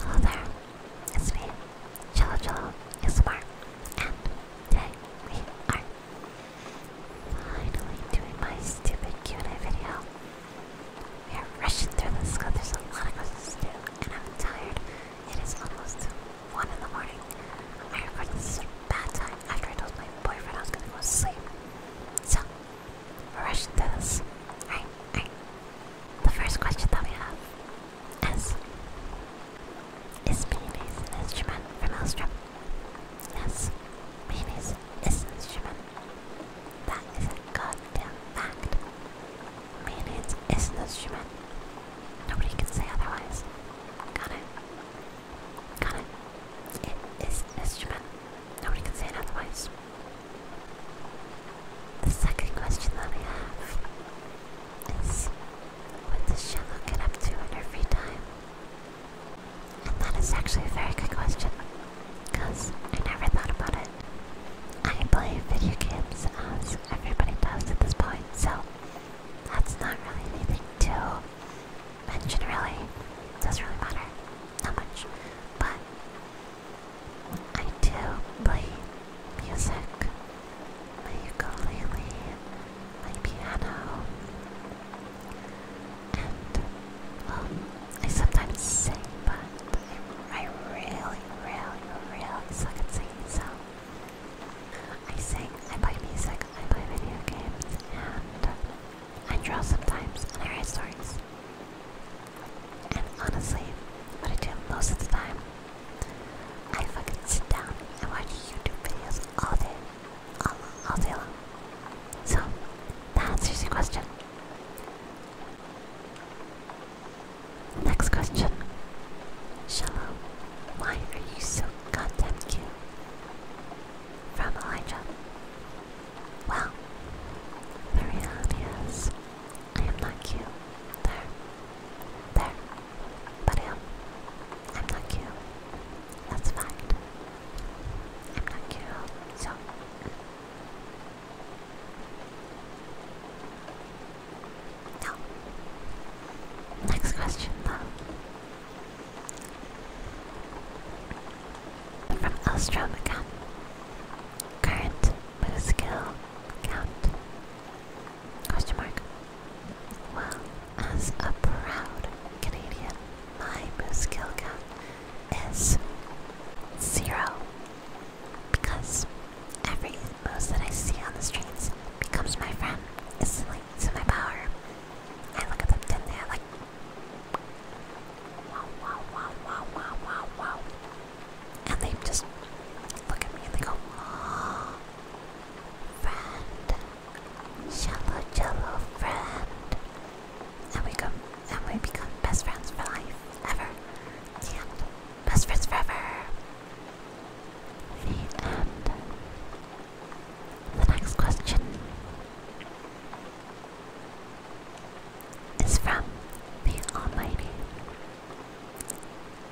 Hello there, it's me, Jello Jello ASMR, and today we are finally doing my stupid Q&A video. We are rushing through this because there's a lot of questions to do, and I'm tired. It is almost 1 in the morning. I recorded this at a bad time after I told my boyfriend I was gonna go to sleep. So, we this the first question that we have is Is mayonnaise an instrument for Maelstrom? Yes, mayonnaise is an instrument. That is a goddamn fact. Mayonnaise is an instrument. Nobody can say otherwise. Got it? Got it? It is an instrument. Nobody can say otherwise. The second question that we have is what does Shallow get up to in her free time? And that is actually a very good question, because I never thought about it. I play video games as everybody does at this point, so that's not really anything to mention really. Doesn't really matter that much. But I do play music, my ukulele, my piano, and well, I sometimes sing, but I, I really, really, really suck at singing, so I sing, I play music, I play video games, and I draw sometimes, and I write stories. And honestly, what I do most of the time, I fucking sit down and watch YouTube videos all day, all, all day long. So, that answers your question. Next question. Shalom, why are you so goddamn cute? From Elijah. Well, the reality is, I am not cute. There. There. But I am. I'm not cute. That's a I'm not cute, so. No. Next question, though. From Elstrom again. Current with a count. Question mark. Well, as a proud Canadian, my boost skill count is zero. Because every boost that I see on the streets becomes my friend. It's like my power. I look at them they're like and they just look at me and they go, oh, friend, shallow, jello, friend. And we go, and we become best friends for life, ever. And best friends forever. The end. The next question is from the Almighty.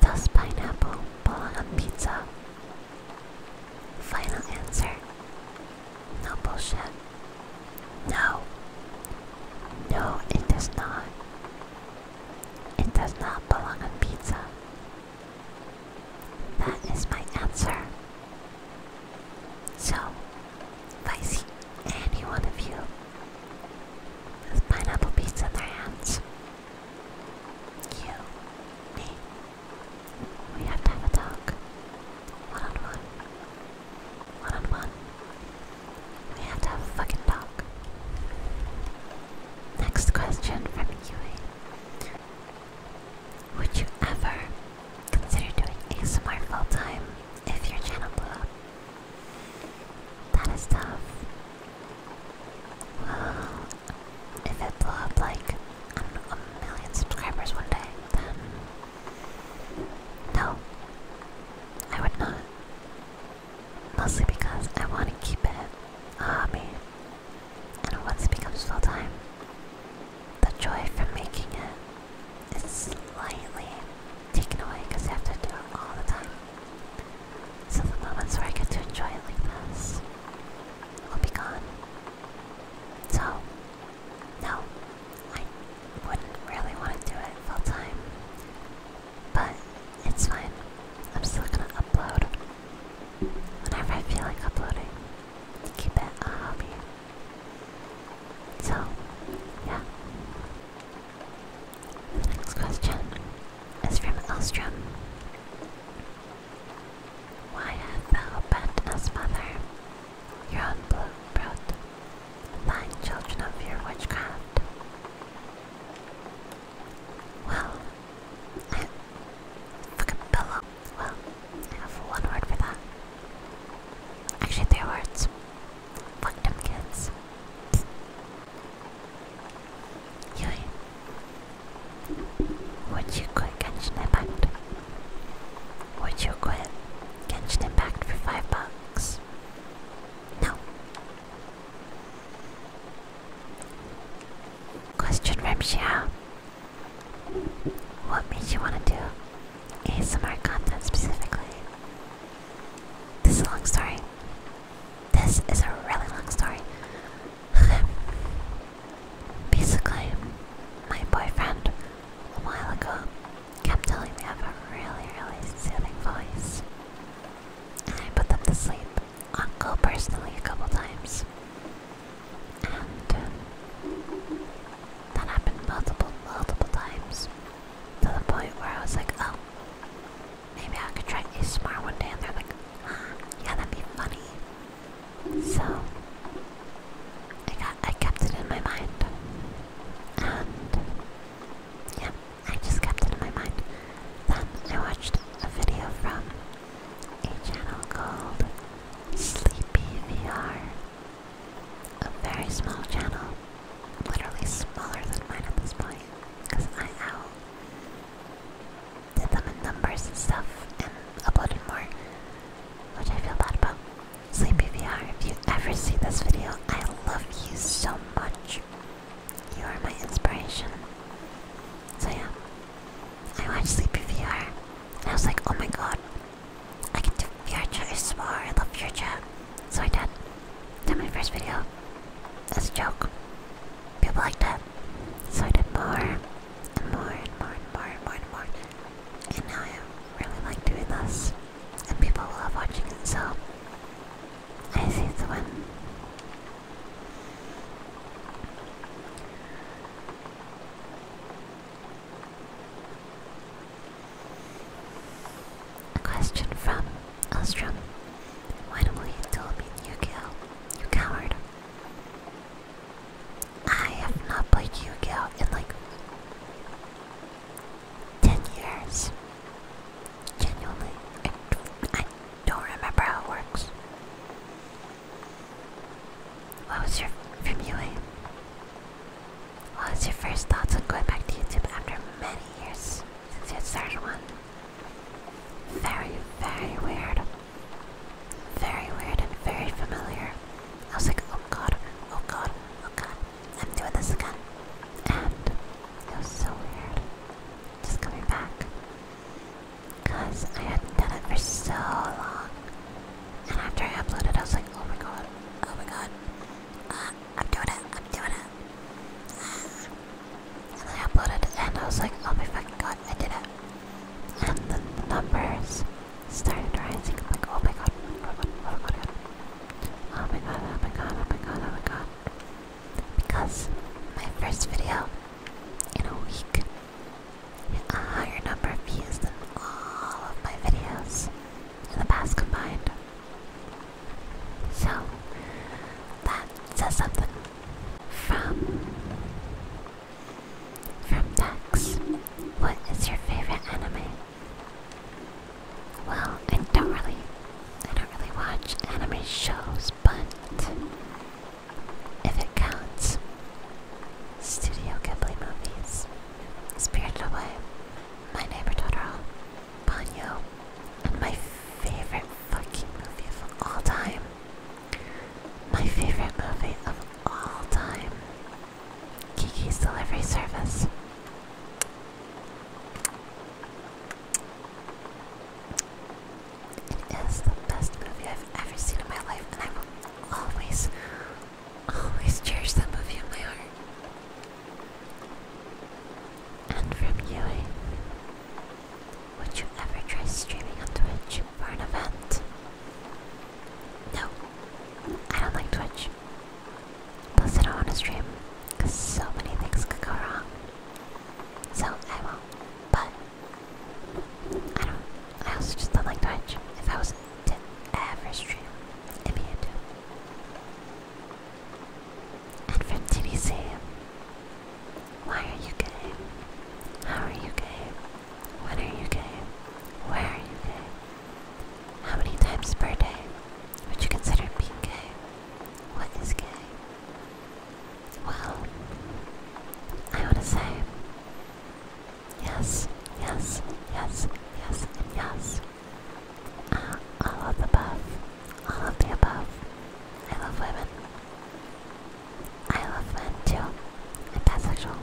Does pineapple belong on pizza? Final answer. No bullshit. No. No, it does not. It does not belong on pizza. That is my answer. So, if I see any one of you with pineapple beads in their hands, you, me, we have to have a talk. One on one. One on one. We have to have a fucking talk. Next question from Yui. Would you ever consider doing ASMR full time if your channel blew up? That is tough. Well, if it blew up like, a million subscribers one day, then. No. I would not. Mostly because I want to keep it hobby. And once it becomes full time, the joy from making it it's slightly taken away because I have to do it all the time. So the moments where I get to enjoy it like this will be gone. So, no, I wouldn't really want to do it full time. But it's fine. I'm still gonna upload whenever I feel like uploading. Keep it a hobby. So, yeah. The next question is from Elstrom. Why have thou bent us, mother? Your own blue brood, thine children of your witchcraft. Well, I fucking pillow. Well, I have one word for that. Actually, three words. Fuck them kids. Yui. Would you quit Genshin Impact? Would you quit Genshin Impact for five bucks? No. Question from What made you want to do ASMR content specifically. This is a long story. This is a really long story. Basically, my boyfriend a while ago kept telling me I have a really, really soothing voice. I put them to sleep on go personally a couple times. And um, that happened multiple, multiple times to the point where I was like, oh, maybe I could try ASMR one day. And they're like, ah, yeah, that'd be funny. So I got, I kept it in my mind, and yeah, I just kept it in my mind. Then I watched a video from a channel called Sleepy VR a very small channel, literally smaller than mine at this point, because I out did them in numbers and stuff and uploaded more, which I feel bad about. Sleepy if you ever see this video, I love you so much. You are my inspiration. So yeah, I watched Sleepy I was like, oh my god, I can do future SMR, I love future. So I did. Did my first video. As a joke. People liked it. So I did more and more and more and more and more and more. And now I really like doing this. And people love watching it, so I see it's the one. A question from Ostrom. When will you tell me Yu-Gi-Oh? You coward. I have not played you gi oh in like 10 years. Genuinely, I, don't remember how it works. What was your from you, eh? What was your first thoughts on going back to YouTube after many years since you had started one? Very, very weird. Very weird and very familiar. I was like, oh god, oh god, oh god, I'm doing this again. And it was so weird. Just coming back. Because I hadn't done it for so long. And after I uploaded, I was like, oh my god, oh my god, uh, I'm doing it. I'm doing it. And I uploaded it, and I was like, oh my fucking god, I did it. And then the numbers started rising. I'm like, oh, oh, oh my god, oh my god, oh my god, oh my god, oh my god, oh my god. Because my first video in a week hit a higher number of views than all of my videos in the past combined. So, that says something. From from Dex, what is your favorite anime? Well, I don't really, I don't really watch anime shows, but if it counts, Studio Ghibli movies. Spirited Away, My Neighbor Totoro, Ponyo, and my favorite fucking movie of all time. My favorite movie of all time. Kiki's Delivery Service. It is the best movie I've ever seen in my life, and I will always, Always cherish some of you in my heart. And from you, Would you ever try streaming on Twitch for an event? No, I don't like Twitch. Plus, I don't want to stream because so many things could go wrong. So, I won't. But, I don't. I also just don't like Twitch. If I was to ever stream, Immune. And from TBC, why are you gay? How are you gay? When are you gay? Where are you gay? How many times per day would you consider being gay? What is gay? Well, I want to say Yes, yes, yes, yes, yes. Uh, all of the above. All of the above. I love women. I love men too. I'm bisexual.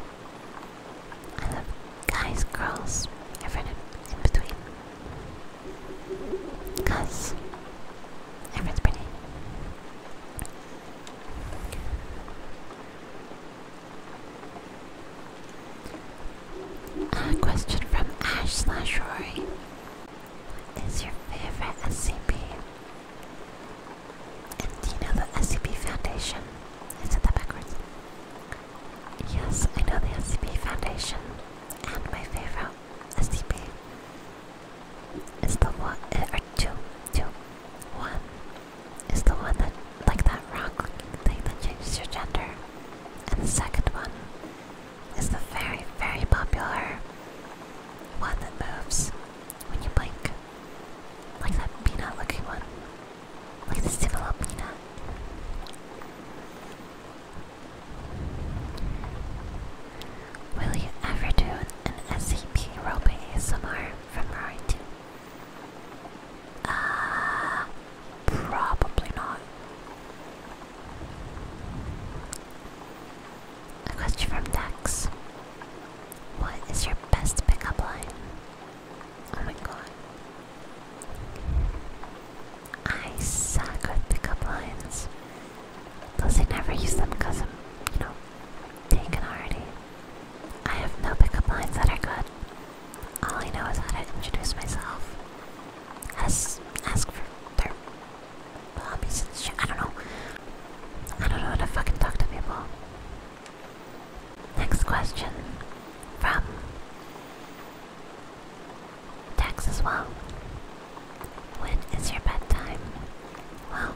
I love guys, girls, everyone in, between. Cause everyone's pretty. A question from Ash slash Rory. What is your favorite SCP? And do you know the SCP Foundation? I said that backwards. Yes, I know the SCP Foundation. And my favorite SCP is the one, uh, or two, two, one is the one that, like that rock looking thing that changes your gender. And the second one is the very, very popular one that moves when you blink. Like that peanut looking one. Like the similar peanut. Will you ever do an SCP roleplay ASMR from Rory 2? Ah, probably not. A question from Dex. What is your best pickup line? Oh my god. I suck at pickup lines. Plus I never use them because I'm, you know, taken already. I have no pickup lines that are good. All I know is how to introduce myself. Ask, ask for their hobbies and shit. I don't know. I don't know how to fucking talk to people. Next question from Dex well. When is your bedtime? Well,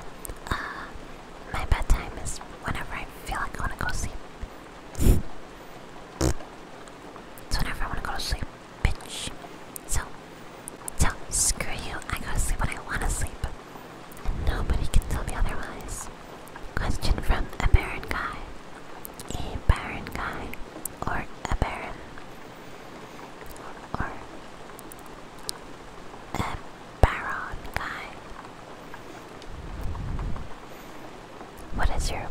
uh, my bedtime is whenever I feel like I want to go sleep. It's whenever I want to go to sleep, bitch. So, so screw you. I go to sleep when I want to sleep, and nobody can tell me otherwise. Question from a baron guy, a barren guy, or a baron, or a Baron guy. What is your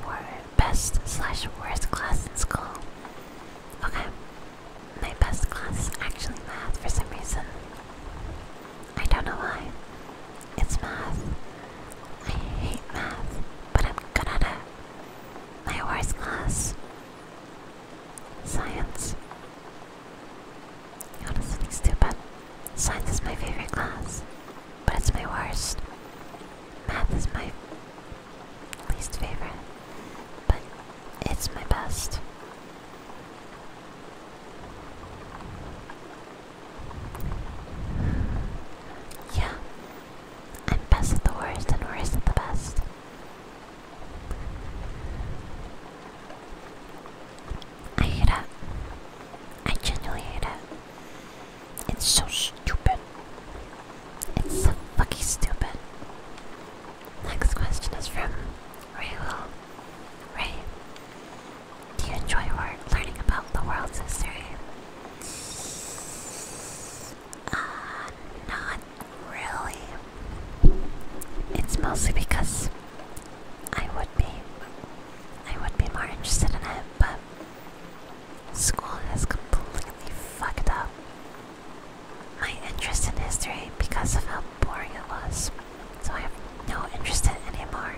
Best slash worst class in school? Okay. My best class is actually math for some reason. I don't know why. It's math. I hate math, but I'm good at it. My worst class. Science. Honestly stupid. Science is my favorite class, but it's my worst. Math is my least favorite, but it's my best. Yeah, I'm best at the worst and worst at the best. I hate it. I genuinely hate it. It's so stupid. It's so fucking stupid. Next question is from Ray Ray, do you enjoy learning about the world's history? Uh, not really. It's mostly because I would be I would be more interested in it, but school has completely fucked up my interest in history because of how boring it was. So I have no interest in anymore.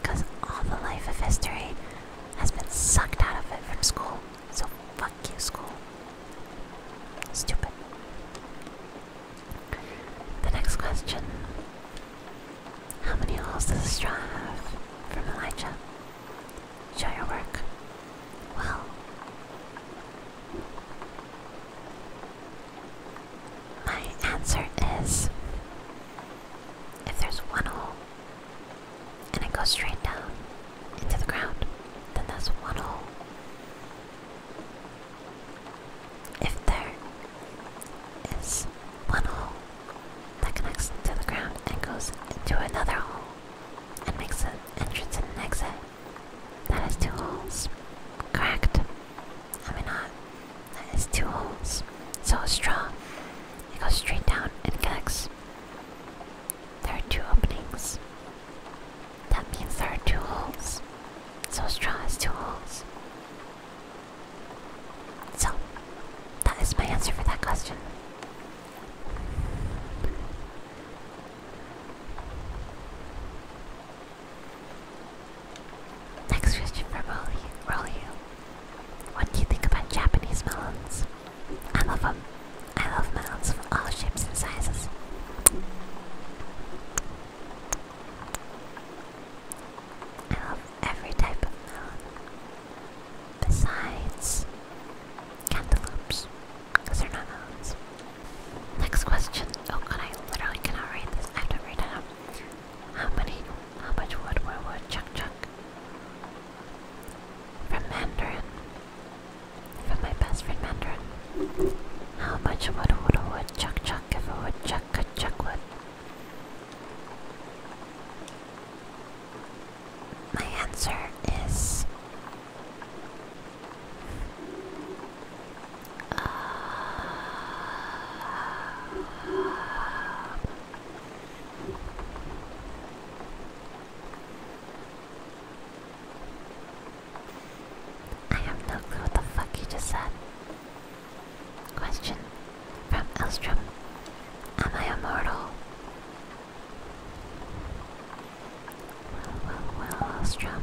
Because all the life of history has been sucked out of it from school. So fuck you, school. Stupid. The next question How many holes does a straw have? From Elijah. Show your work. Well, my answer is if there's one hole and it goes straight down into the ground, then that's one hole. If there is one hole that connects to the ground and goes into another hole and makes an entrance and an exit, that is two holes. Correct? I mean not. That is two holes. So a straw. It goes straight down and connects. There are two openings. That means there are two holes. So straw has two holes. So, that is my answer for that question. Next question for Rolly. What do you think about Japanese melons? I love them. I love melons of all shapes and sizes. I love every type of melon besides cantaloupes they're not melons. Next question. Oh god, I literally cannot read this. I have to read it How many, how much wood would wood chuck chuck? From Mandarin. From my best friend Mandarin. How much wood would a Chuck, chuck if a woodchuck could chuck wood. My answer is uh, I have no clue what the fuck you just said. Question from Elstrom Am I immortal? Well, well, well, Elstrom.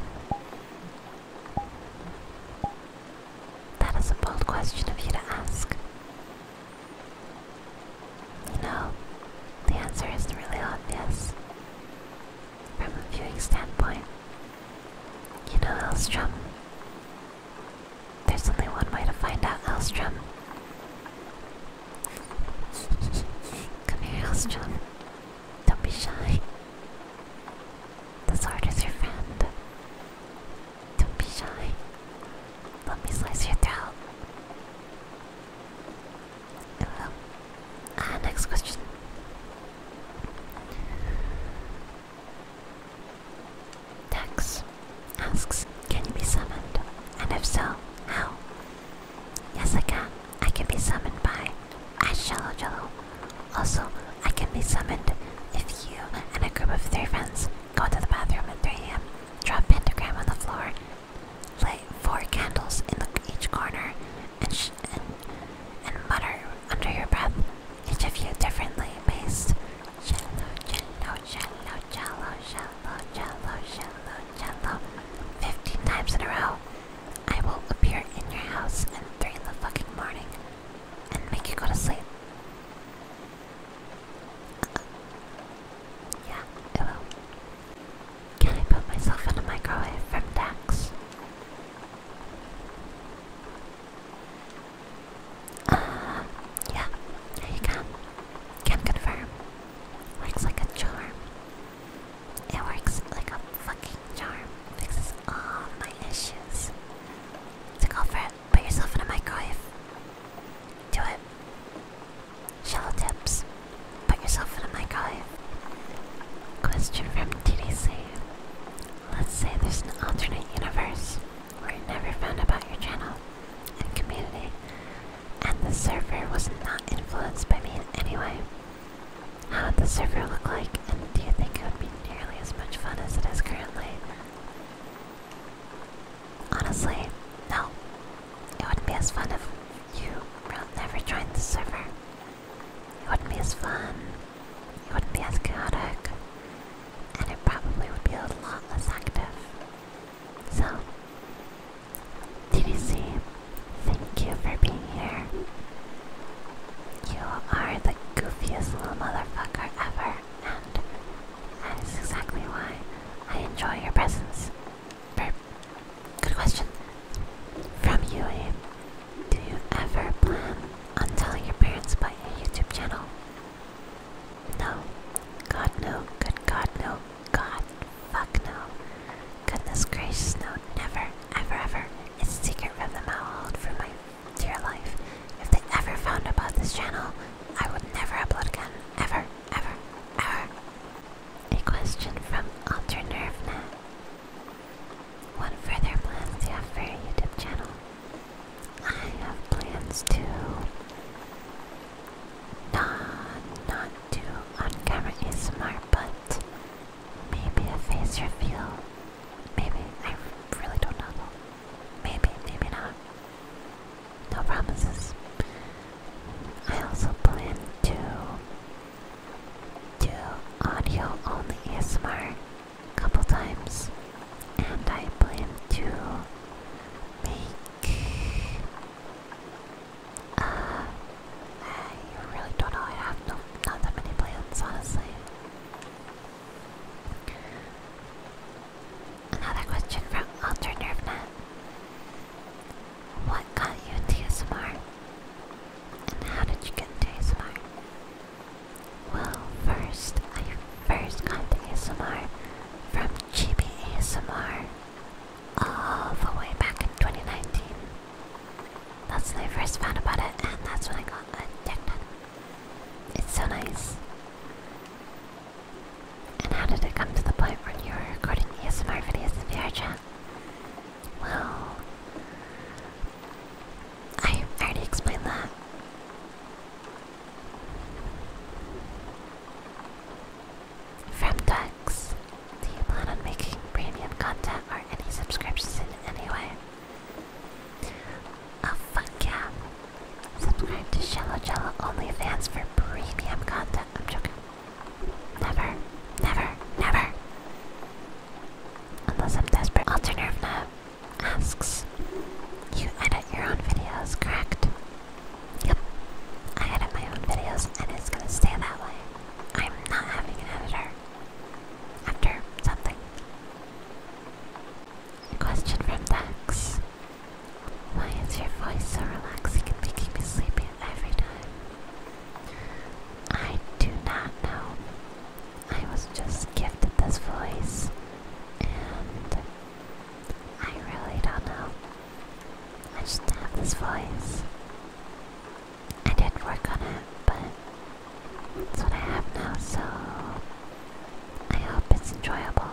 That is a bold question of you to ask. You know, the answer is really obvious from a viewing standpoint. You know Elstrom? There's only one way to find out Elstrom. Come here, Elstrom. Don't be shy. The sword is your friend. Don't be shy. Let me slice your throat. Hello. Ah, next question. Dex asks, can you be summoned? And if so, how? Yes, I can. I can be summoned by Ashjello Jello. Also, I can be summoned if you and a group of three friends go to the bathroom at 3 a.m., drop pentagram on the floor, light four candles in each corner, and each and, and mutter under your breath, each of you differently based. Shallow, shallow, shallow, shallow, shallow, shallow, shallow, shallow. Fifteen times in a row. I will appear in your house at three in the fucking morning and make you go to sleep. Uh, yeah, it will. Can I put myself in a microwave from Dax? Um, yeah, there you go. Can confirm. Works like a charm. It works like a fucking charm. Fixes all my issues. So go for it. Put yourself in a microwave. Do it. Shallow tips. Put yourself in a microwave. Question from TDC. Let's say there's an alternate universe where you never found about your channel and community, and the server was not influenced by me anyway. How would the server look like, and do you think it would be nearly as much fun as it is currently? Honestly, no. It wouldn't be as fun if you never joined the server. It wouldn't be as fun. It wouldn't be as chaotic. And it probably would be a lot less active. So, TDC, thank you for being here. You are the goofiest little motherfucker ever, and that is exactly why I enjoy your presence. Good question. From Yui. Do you ever plan on telling your parents about your YouTube channel? No. God no. Good God no. God fuck no. Goodness gracious no. Never. Ever ever. It's a secret from the mouth for my dear life. If they ever found about this channel, I would never upload again. Ever. Ever. Ever. A question from Alternervna. What further plans you have for your YouTube channel? I have plans to not not do on camera ASMR, but maybe a face reveal. Maybe I really don't know Maybe, maybe not. No promises. I also plan to do audio only ASMR a couple times, and I plan to make. Uh, I really don't know. I have not that many plans, honestly. Another question from Ultra Nervenet. What got you into ASMR? And how did you get to ASMR? Well, first, I first got to ASMR from Chibi ASMR all the way back in 2019. That's when I first found about it, and that's when I got addicted. It's so nice. And how did it come to the point where you were recording ASMR videos in VR channel? Well, I already explained that. From ducks, do you plan on making premium content or any subscriptions in any way? Oh fuck yeah! Subscribe to Shallow Jello OnlyFans for premium content. I'm joking. Never, never, never. Unless I'm desperate. Alternative now asks, you edit your own videos, correct? Yep. I edit my own videos and it's gonna stay that way. I'm not having an editor. After something. Question from Dax. Why is your voice so relaxing and making me sleepy every time? I do not know. I was just gifted this voice, and I really don't know. I just have this voice. I did work on it, but that's what I have now, so I hope it's enjoyable.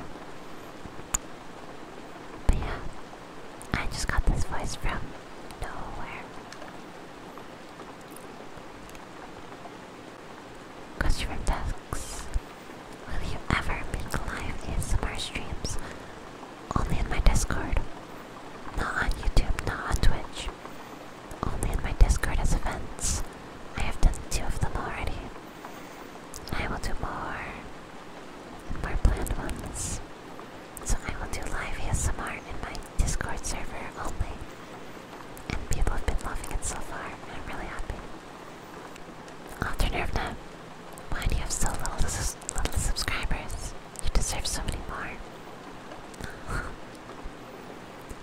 But yeah, I just got this voice from nowhere. Question tasks. Will you ever make live ASMR streams? Only in my Discord. Not on YouTube, not on Twitch. Only in my Discord as events. I have done two of them already. I will do more. And more planned ones. So I will do live ASMR in my Discord server only. And people have been loving it so far, and I'm really happy. Alter Nervna, why do you have so little, little subscribers? You deserve so many more.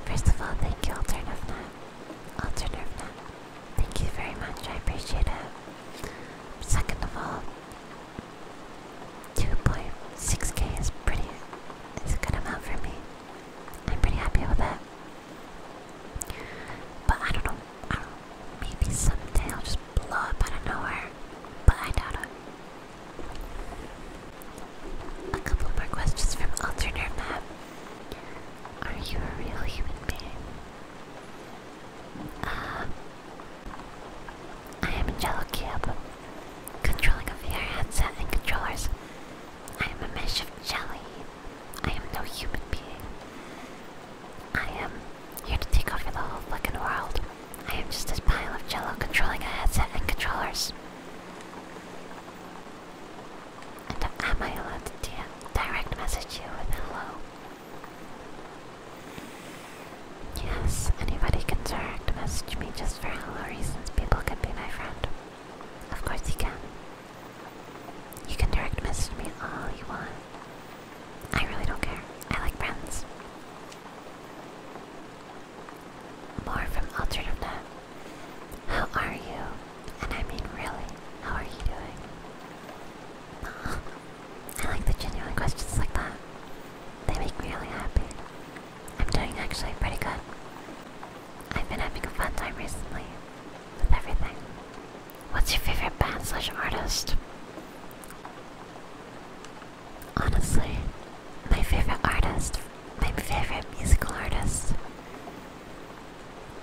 First of all, thank you, Alter Nervna. Alter Nervna, thank you very much, I appreciate it. Second of all, 2.6k is pretty, It's a good amount for me. I'm pretty happy with that. But I don't know, I don't, maybe someday I'll just blow up out of nowhere, but I doubt it. A couple more questions from Alternate Map. Are you a real human being? Uh, I am a Jello Cube, controlling a VR headset and controllers. I am a mesh of jelly. I am no human being. I am here to take over the whole fucking world. I am just this pile of jello controlling a headset and controllers. And am I allowed to direct message you with hello? Yes, anybody can direct message me just for hello reasons. People can be my friend. Of course you can. You can direct message me all you want. I really don't care. I like friends. More from Alternative How are you? And I mean really, how are you doing? I like the genuine questions like that. They make me really happy. I'm doing actually pretty good. I've been having a fun time recently with everything. What's your favorite band slash artist? Honestly, my favorite artist, my favorite musical artist,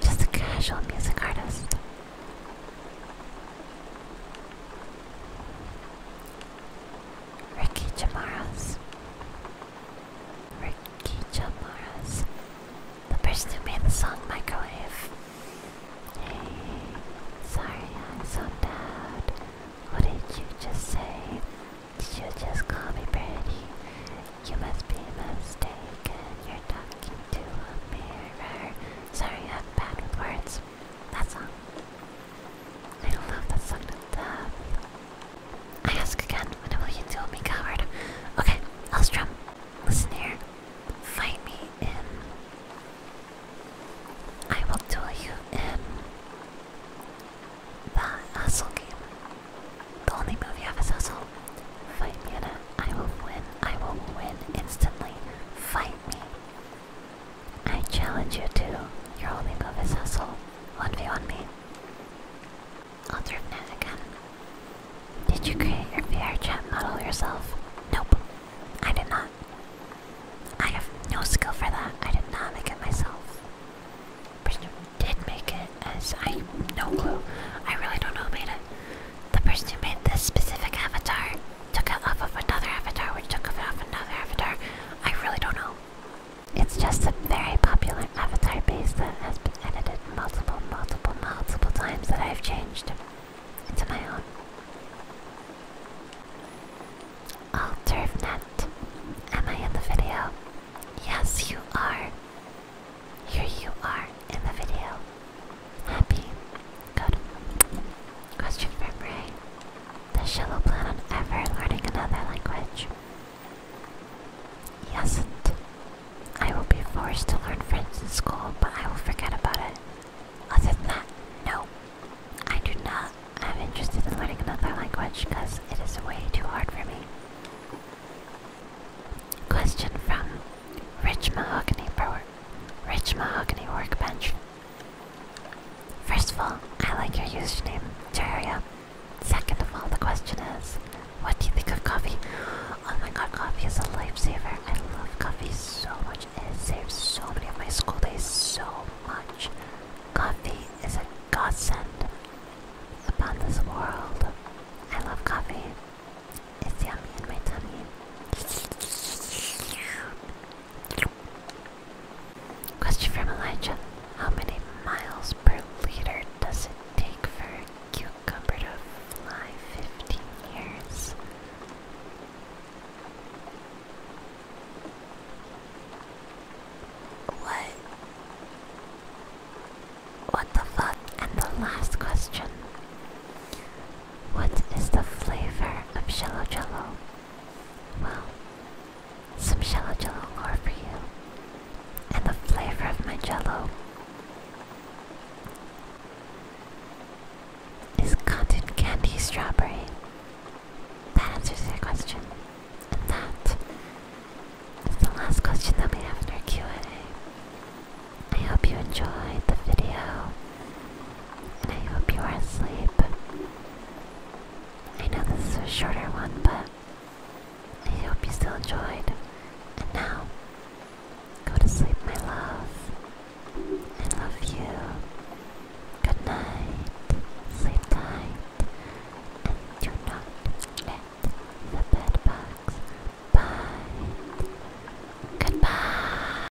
just a casual music artist. Ricky Jamaras. Ricky Jamaras. The person who made the song Microwave. Hey, sorry I'm so loud. What did you just say? Did you just call me pretty? You must be mistaken. You're talking to a mirror. Sorry, I'm bad with words. That's all. I love that song to that. I ask again, when will you duel oh me, coward? Okay, Elstrom, listen here. Fight me in. I will duel you in that hustle game. The only move you have is hustle. Fight me in it. I will win. I will win instantly. Fight me. I challenge you to your holy Govis hustle. 1v1 me. I'll Alternate again. Did you create your VR chat model yourself? Nope. I did not. I have no skill for that. I did not make it myself. Person who did make it as I no clue. I really don't know who made it. The person who made this specific avatar took it off of another avatar, which took it off another avatar. I really don't know. It's just a very popular avatar base that has been edited multiple, multiple, multiple times that I've changed into my own. All Turfnet, am I in the video? Yes, you are. Here you are in the video. Happy. Good. Question for Bray. Does Shiloh plan on ever learning another language? He has I will be forced to learn French in school, but I will forget about it. Other than that, no. I do not. I'm in learning another language because it is way too hard for me. Question from Rich Mahogany Bro Rich Mahogany Workbench First of all, I like your username, Terraria. Second of all, the question is, what do you think of coffee? Oh my god, coffee is a lifesaver. I love coffee so much. It saves so many of my school days so much. Coffee is a godsend upon this world. I love coffee. It's yummy in my tummy. Question from Elijah. How many miles per liter does it take for a cucumber to fly 15 years? What? What the fuck? And the last question what is the flavor of shallow jello? Well, some shallow jello lore for you. And the flavor of my jello is cotton candy strawberry. That answers your question. that is the last question that we have in our Q&A. I hope you enjoyed the video. And I hope you are asleep. I know this is a shorter one, but I hope you still enjoyed. And now, go to sleep, my love. I love you. Good night. Sleep tight. And do not let the bedbugs bite. Goodbye.